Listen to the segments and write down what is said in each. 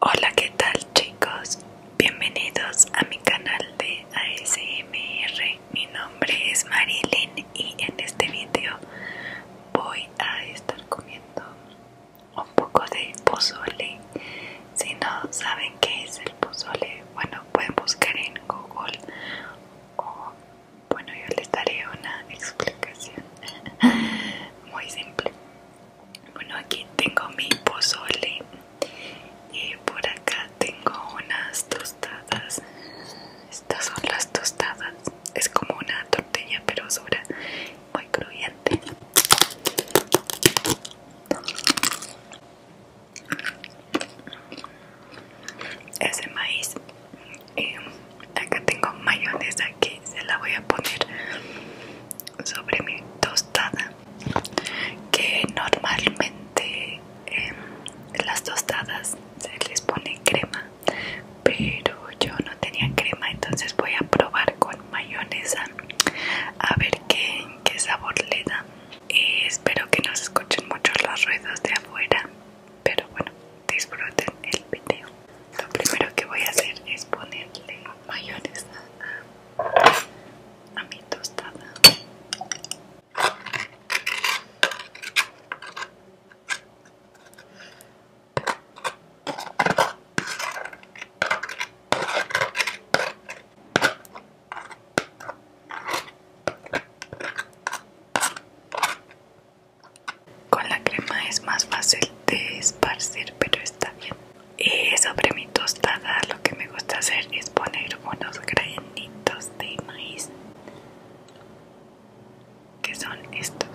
Hola qué tal chicos, bienvenidos a mi canal de ASMR, mi nombre es Marilyn y en este vídeo voy a estar comiendo un poco de pozole, si no saben qué es el pozole, bueno pueden buscar en Google o bueno yo les daré una explicación muy simple bueno, aquí tengo mi pozole y por acá tengo unas tostadas. Estas son las tostadas. Es como una tortilla pero dura, muy crujiente. Ese maíz. Y acá tengo mayonesa que se la voy a poner sobre mi tostada que normalmente em, las tostadas se les pone crema pero yo no tenía crema entonces voy a probar con mayonesa a ver qué, sabor le da y eh, espero que no se escuchen mucho los ruidos de afuera pero bueno disfruten el video lo primero que voy a hacer es ponerle mayonesa a mi tostada con la crema es más fácil de esparcir pero está bien y eh, sobre mi tostada lo que me gusta hacer es poner unos granitos de maíz que son estos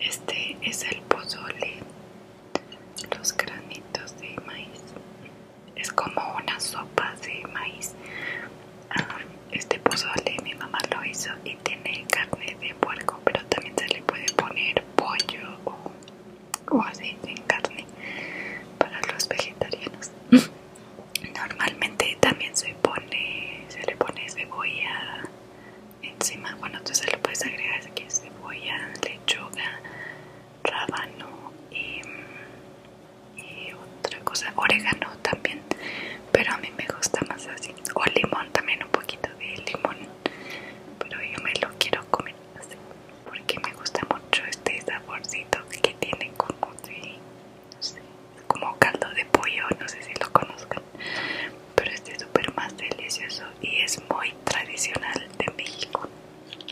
este es el pozole los granitos de maíz es como una sopa de maíz. Ah, este pozole mi mamá lo hizo y tiene carne de puerco, pero también se le puede poner pollo o, así en carne para los vegetarianos. Normalmente también se pone, se le pone cebolla encima. Bueno, tú se lo puedes agregar aquí cebolla, lechuga, rábano y y eh, otra cosa, orégano también, pero a mí me gusta más así, o limón también, un poquito de limón, pero yo me lo quiero comer así, porque me gusta mucho este saborcito que tiene como no sé, como caldo de pollo, no sé si lo conozcan, pero este es súper más delicioso y es muy tradicional de México.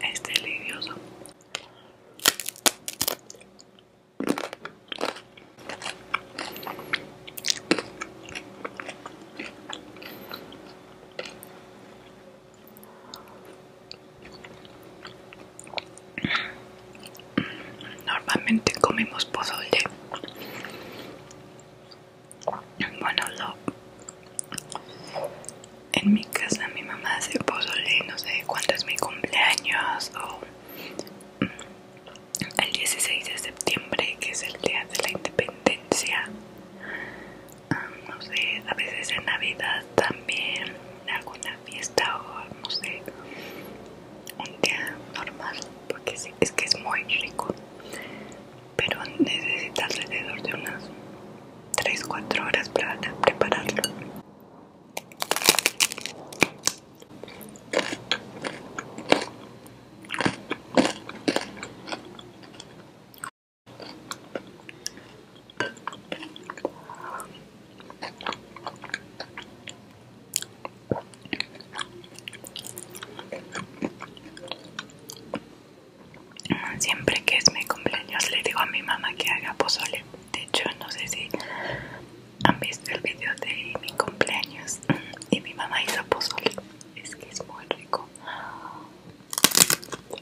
Es delicioso. Normalmente comemos pozole. Bueno, en mi casa mi mamá hace pozole, no sé cuándo es mi cumpleaños mm, el 16 de septiembre, que es el día de la independencia. Ah, no sé, a veces en Navidad también, alguna fiesta o no sé, un día normal, porque es que es muy rico. Pero necesitas alrededor de unas 3-4 horas para prepararlo. Siempre que es mi cumpleaños le digo a mi mamá que haga pozole. De hecho, no sé si han visto el video de mi cumpleaños mm, y mi mamá hizo pozole. Es que es muy rico. Mm.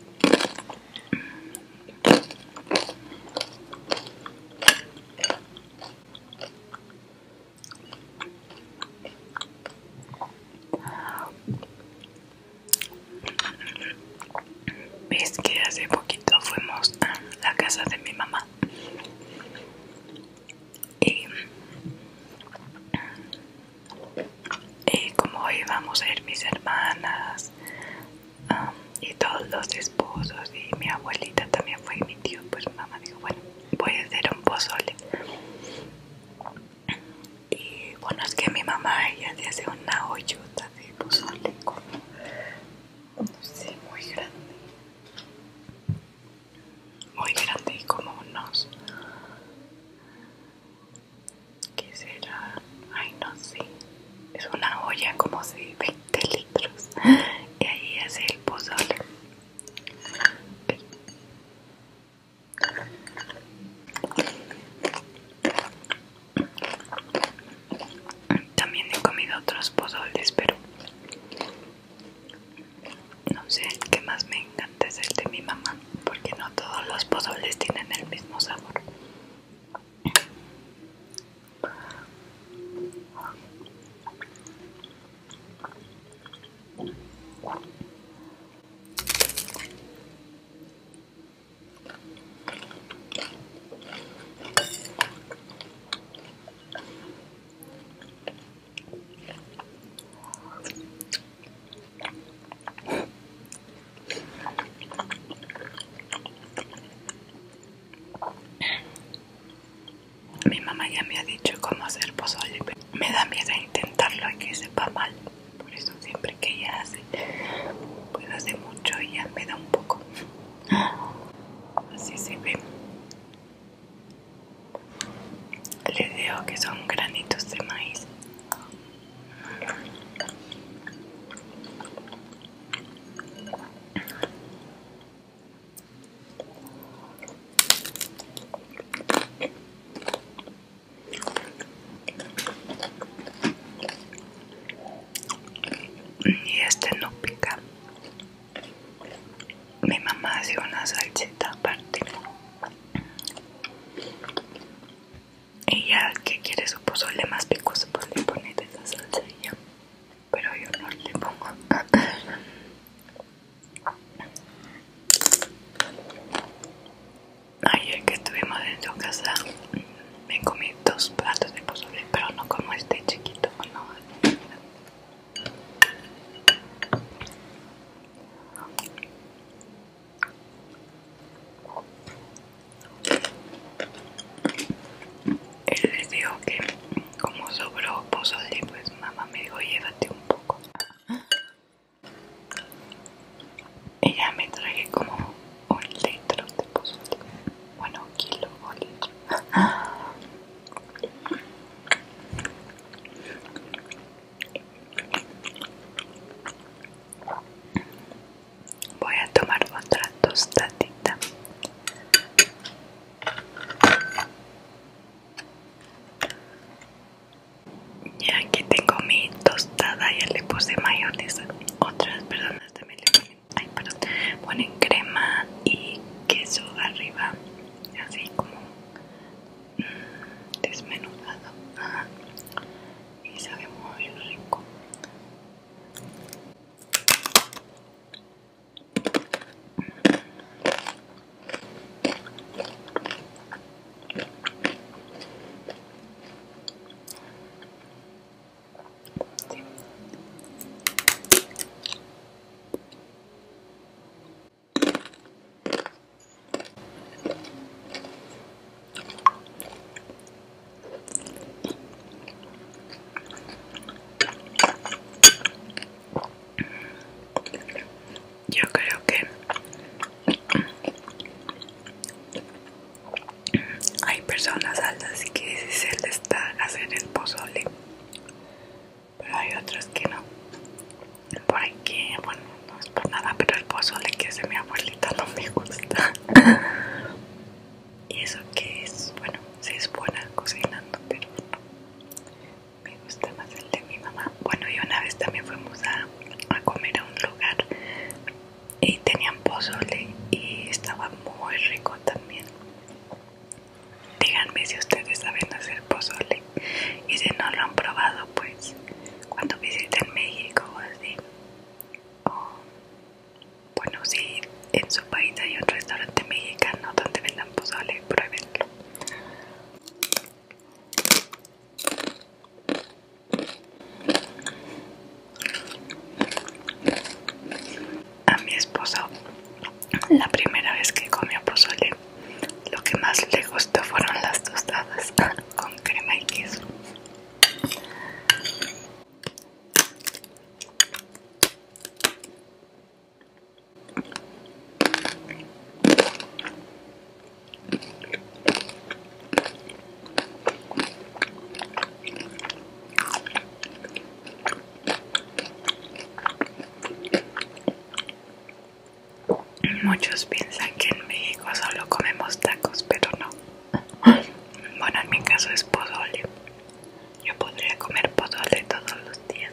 Es que hace poquito fuimos a la casa de mi mamá y, eh, como íbamos a ir mis hermanas um, y todos los esposos y mi abuelita también fue mi tío pues mamá dijo bueno voy a hacer un pozole y bueno es que mi mamá ella se hace una hoyuta de pozole Sí, muy grande, muy grande y como unos ¿Qué será? Ay, no sé. Es una olla como si 20 litros. Y ahí hace el pozole. También he comido otros pozoles, pero no sé, el que más me encanta es el de mi mamá, porque no todos los pozoles tienen el mismo sabor. Mi mamá ya me ha dicho cómo hacer pozole, pero me da miedo intentarlo y que sepa mal. Por eso siempre que ella hace, pues hace mucho y ya me da un poco. Así se ve. Le digo que son granitos de maíz y este no pica mi mamá hace una salsita aparte. ella que quiere su pozole más picoso, pues le pone esa salsa Pero yo no le pongo. Ayer que estuvimos en su casa, me comí dos platos de pozole, pero no como este chiquito, no. Él les dijo que como sobró pozole, pues mamá me dijo llévate un poco. ella me traje como un litro de pozole. Bueno, kilo o litro. Voy a tomar otra tostadita. Y aquí tengo mi tostada, ya le puse mayonesa. Otras personas también le ponen, ponen crema y queso arriba así como mm, desmenuzado y sabe muy rico yo creo que hay personas altas que se les está haciendo el pozole pero hay otros que no. Por aquí, bueno, no es por nada, pero el pozole que hace mi abuelita no me gusta. y eso que es, bueno, sí es buena cocinando, pero Me gusta más el de mi mamá. Bueno, y una vez también fuimos a, a comer a un lugar y tenían pozole y estaba muy rico también Díganme si ustedes saben hacer pozole y si no lo han probado, pues cuando visiten México o así. O, bueno, si en su país hay un restaurante mexicano donde vendan pozole, pruébenlo a mi esposo la primera vez que comió pozole lo que más le gustó fueron las tostadas con crema y queso Muchos piensan que en México solo comemos tacos, pero no. Bueno, en mi caso es pozole. Yo podría comer pozole todos los días.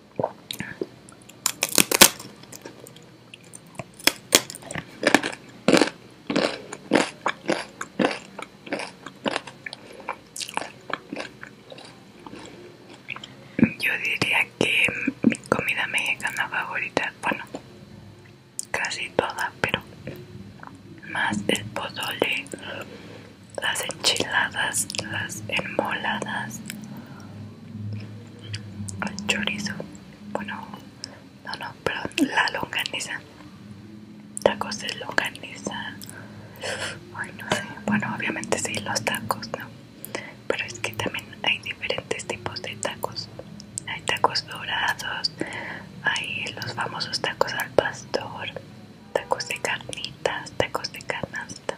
Yo diría que mi comida mexicana favorita, bueno, casi toda, pero más el pozole, las enchiladas, las enmoladas, chorizo, bueno, no, no, perdón, la longaniza, tacos de longaniza, bueno, obviamente sí, los tacos, ¿no? Pero es que también hay diferentes tipos de tacos, hay tacos dorados, hay los famosos tacos al pastor, tacos de carnitas, tacos de canasta,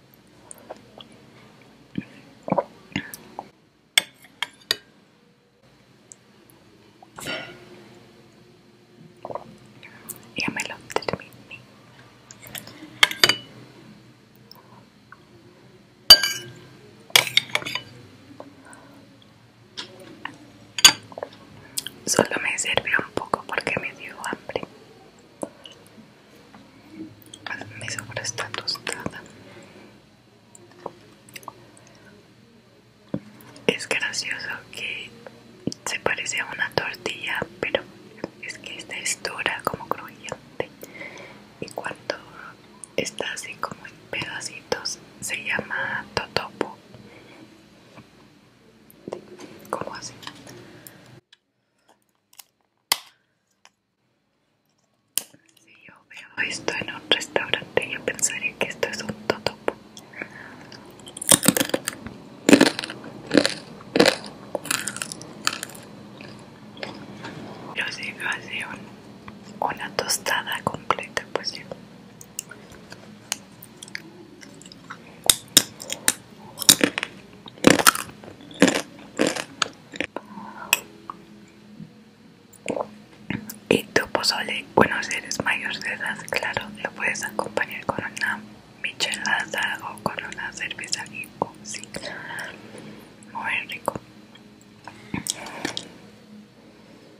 Ya me lo terminé. Solo me sirvió un poco porque me dio hambre. Me sobra está tostada. Es gracioso que se parece a una tortilla, pero es que esta es dura, como crujiente. Y cuando está así como en pedacitos, se llama totopo. Como así. Si yo veo esto en un restaurante, yo pensaría que esto es un totopo. Yo si una tostada completa, pues sí. Y tu pozole, bueno si eres mayor de edad, claro, lo puedes acompañar con una michelada o con una cerveza muy rico.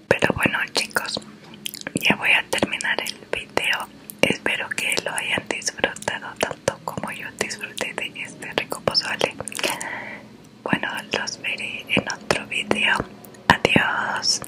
Pero bueno chicos, ya voy a terminar el vídeo Espero que lo hayan disfrutado como yo disfruté de este rico bueno los veré en otro video adiós